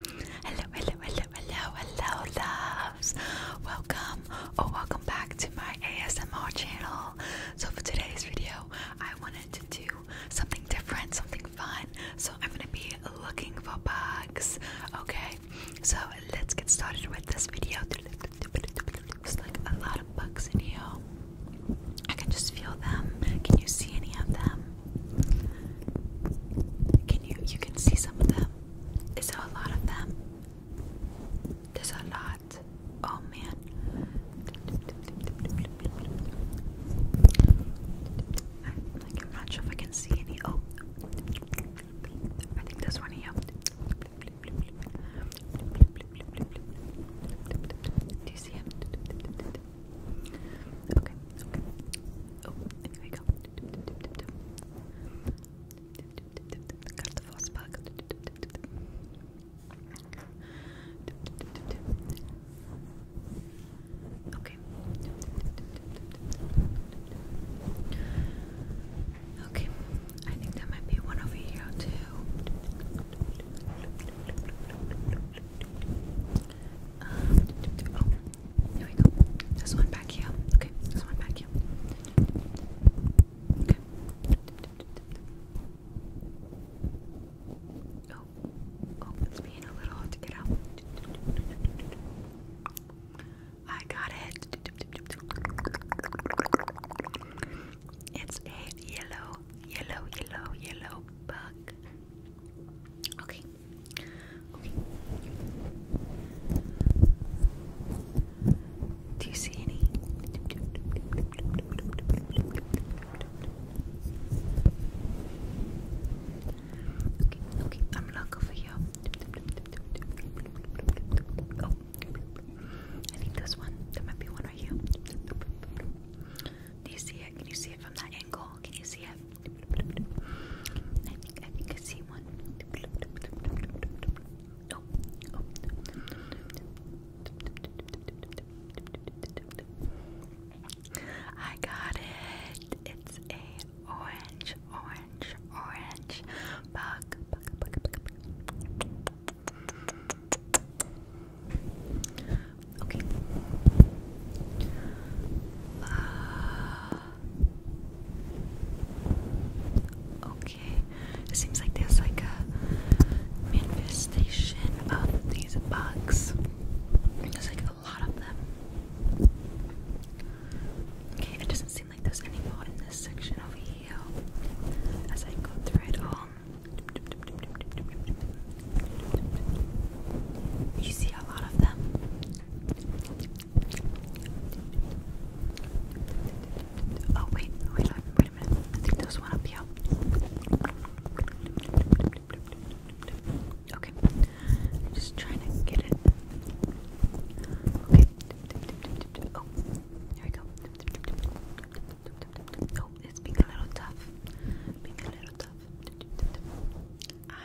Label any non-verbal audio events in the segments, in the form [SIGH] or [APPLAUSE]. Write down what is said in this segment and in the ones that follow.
Hello, hello, hello, hello, hello, loves. Welcome or welcome back to my ASMR channel. So, for today's video, I wanted to do something different, something fun. So, I'm going to be looking for bugs. Okay, so let's get started with this video. There's like a lot of bugs in here. I can just feel them. Can you see any of them? Can you you can see some of them? Is there a lot of them? There's a lot. Oh man. I, am not sure if I can see any. Oh, I think there's one here. Do you see him? Okay, okay. Oh, we go. Okay. Okay, I think there might be one over here too. Um, oh. There we go. This one back here. Okay, this one back here. Okay. Oh, oh, it's being a little hard to get out. I got it. It's a yellow, yellow, yellow, yellow bug. Okay, do you see any? Okay, okay, I'm not over here. Oh, I need this one. There might be one right here. Do you see it? Can you see it from that angle? Can you see it? I think I see one. I got it. It's a orange, orange, orange bug. Okay. Uh, okay. It seems like there's like a manifestation of these bugs. There's like a lot of them. Okay, it doesn't seem like there's any in this section over here. As I go through it all. You see a lot of them. Oh wait, wait, a minute. I think there's one up here. Okay, I'm just trying to get it. Okay. Oh, here we go. Oh, it's being a little tough. Being a little tough. Ah.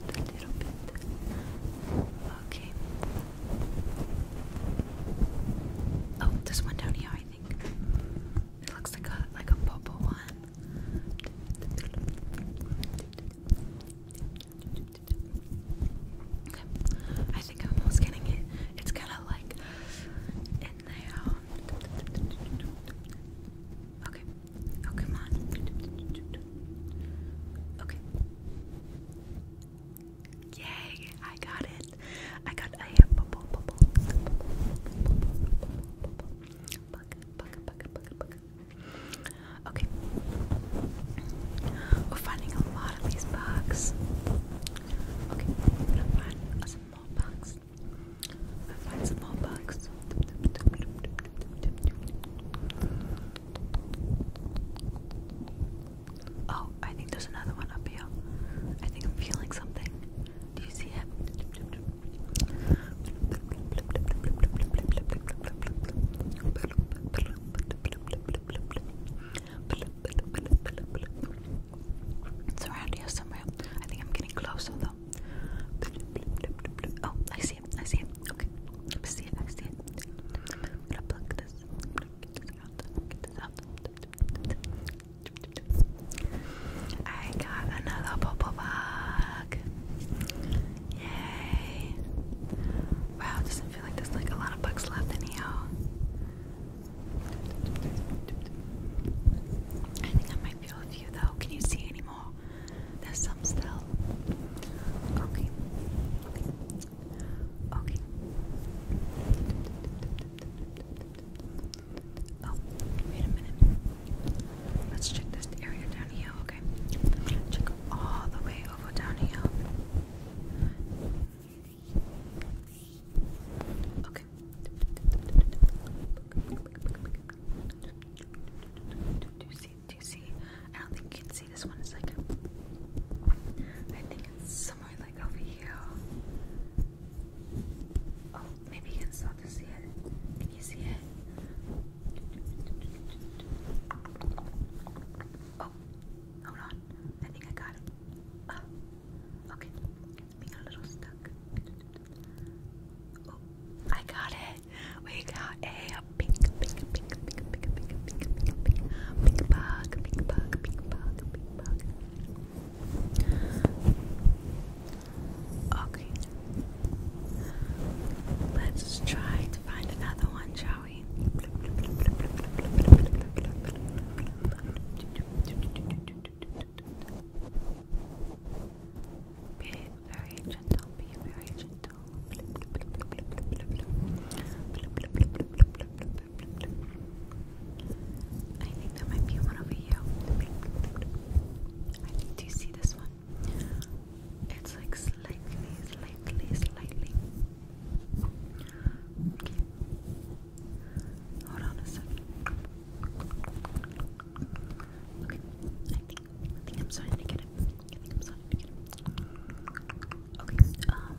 a little bit. Okay. Oh, this one down here, I think. It looks like a like a purple one. Okay. I think I'm almost getting it. It's kind of like in there. Okay. Oh, come on. Okay. Yay, I got it. I got a bubble, Okay. We're finding a lot of these bugs. Okay, gonna find some more bugs. gonna find some more bugs. Oh, I think there's another one up here. I think I'm feeling something. Do you see it? It's around here somewhere. I think I'm getting closer. Oh, I see him! I see him! Okay. I see it. I see it. i got another purple bug. Yay. Wow, doesn't feel like there's like a lot of bugs left in here. I think I might feel a few though. Can you see any more? There's some still. Okay. Okay. Okay. Oh, wait a minute. Let's check this area down here, okay? Check all the way over down here. Okay do you see? I don't think you can see this one. It's like, I think it's somewhere like over here. Oh, maybe you can start to see it. Can you see it? Oh, hold on. I think I got it. Oh, okay. It's being a little stuck. Oh, I got it. We got a pink, pink, pink, pink, pink, pink, pink, pink, pink, pink, pink bug, pink bug, pink bug, pink bug. Okay. Let's try to find another one, shall we? Bit very gentle, very gentle. I think there might be one over here. do you see this one? It's like slightly, slightly, slightly. Hold on a second. I think I'm starting to get it. I think I'm starting to get it. Okay, um.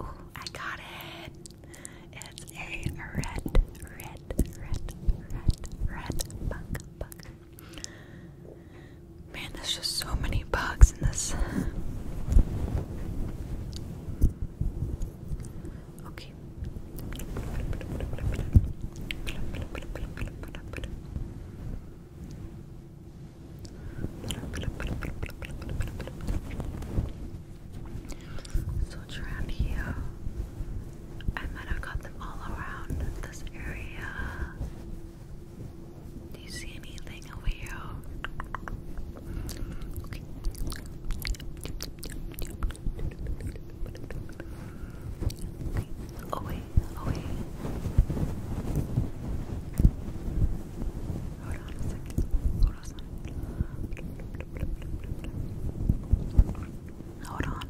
Ooh, I got it. It's a red, red, red, red, red bug, bug. Man, there's just so many bugs in this. Okay. So around here. I might have got them all around this area. Do you see anything over here? Away, away. Hold on a second. Hold on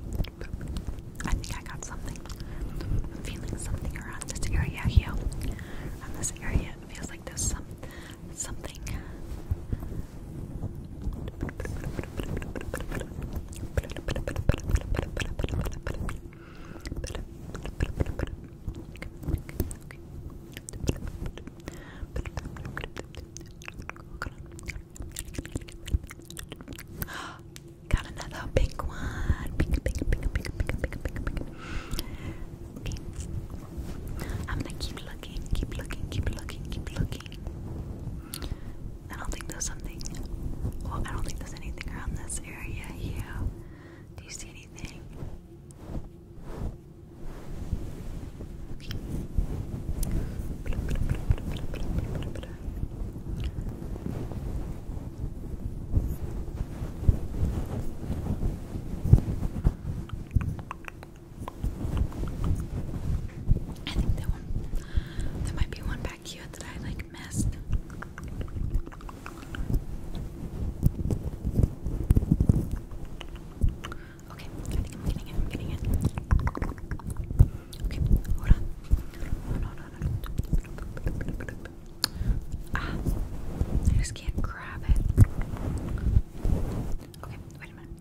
I think I got something. I'm feeling something around this area here. And this area, feels like there's some something. Got another pink one. I'm gonna keep looking, keep looking, keep looking, keep looking. I don't think there's something. Well, I don't think there's anything around this area here. Do you see anything? I think that one, there might be one back here that I like missed. Okay, I think I'm getting it, I'm getting it. Okay, hold on. No, no, no, no. Ah, I just can't grab it. Okay, wait a minute.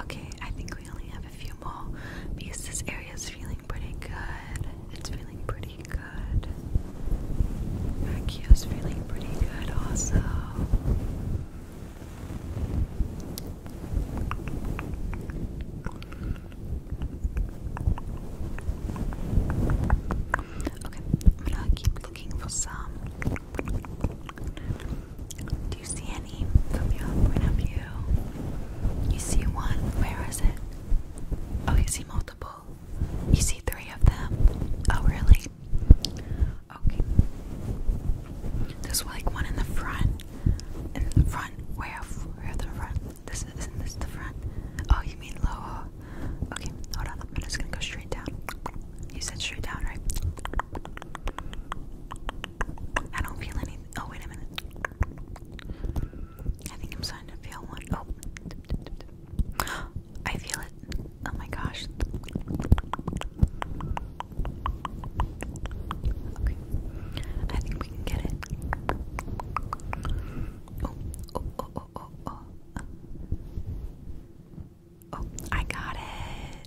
Okay, I think we only have a few more because this area is feeling pretty good. It's feeling pretty good. Mercury's feeling pretty good also. Okay, I'm gonna keep looking for some do you see any from your point of view? You see one? Where is it? Oh, you see multiple? You see three of them? Oh, really? Okay. There's like one in the front. In the front? Where? Where the front? This is, isn't this the front? Oh, you mean lower? Okay, hold on. I'm just gonna go straight down. You said straight down, right? I don't feel anything. Oh, wait a minute. I think I'm starting to feel one. Oh, [GASPS] I feel it. Oh my gosh. I think we can get it. oh, oh, oh, oh, oh. Oh, oh I got it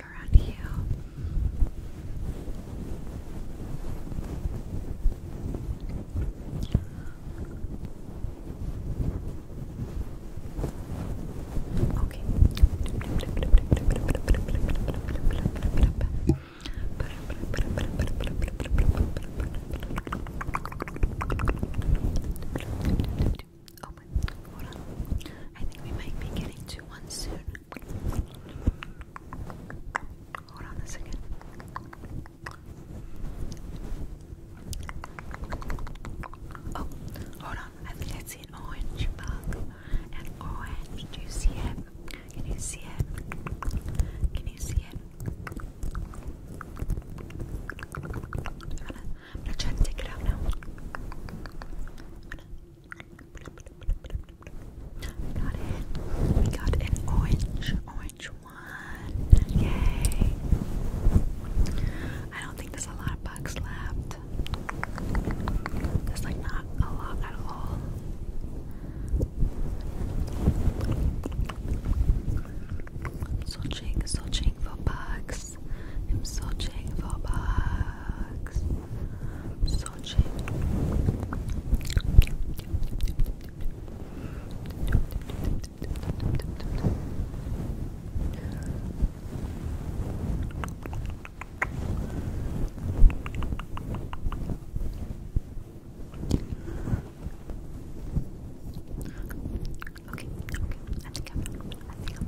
Okay. Oh I think we might be getting to one soon. Hold on a second. Oh, hold on. I think I see an orange bug. An orange. Do you see it? Can you see it? Can you see it? I'm gonna, I'm gonna try to take it out now. I'm gonna, Got it. We got an orange, orange one. Yay! I don't think there's a lot of bugs left. There's like not a lot at all. am searching, searching for bugs. I'm searching for bugs massage it. Okay, okay, I think I'm, I think I'm,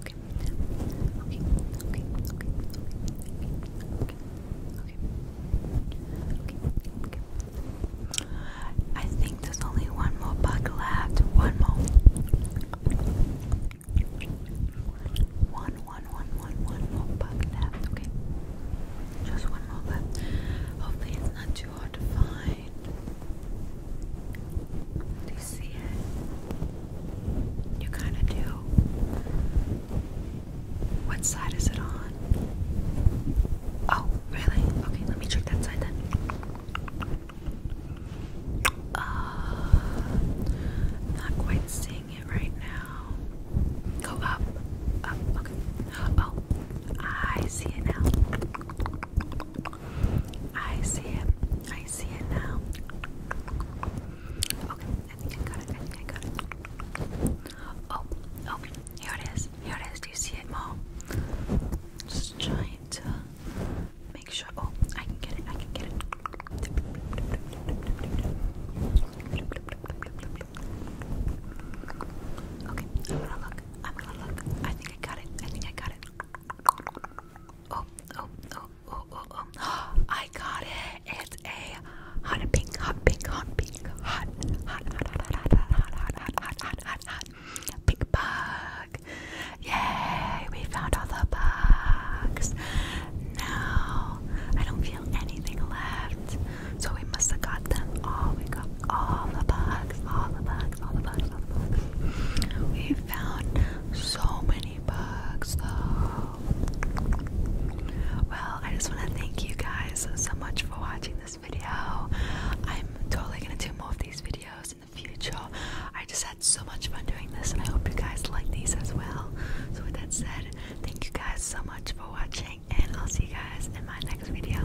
Okay. I think there's only one more bug left. One more. One, one, one, one, one more bug left. Okay. Just one more left. Hopefully it's not too hard to find. Do you see it? You kind of do. What side is it on? Oh, really? Okay, let me check that side then. Uh, not quite seeing it right now. Go up. Up, okay. Oh, I see it now. I see it. I see it now. Okay, I think I got it. I think I got it. Oh, oh, here it is. Here it is. Do you see it, Mom? Just trying to make sure. Oh, I can get it. I can get it. Okay, I'm gonna look. I'm gonna look. I think I got it. I think I got it. Oh, oh, oh, oh, oh, oh. I got it. It's a hot pink, hot pink, hot pink, hot, hot, hot, hot, hot, hot, hot, hot, hot, hot, hot, hot. Pink bug. Yay, we found all the bugs. Now, I don't feel anything left. So we must have got them all. We got all the bugs all the bugs, all the bugs, all the bugs. We found so many bugs though. Well, I just want to thank you guys so much for watching this video. I'm totally gonna do more of these videos in the future. I just had so much fun doing this, and I hope you guys like these as well. So, with that said, thank you guys so much for watching, and I'll see you guys in my next video.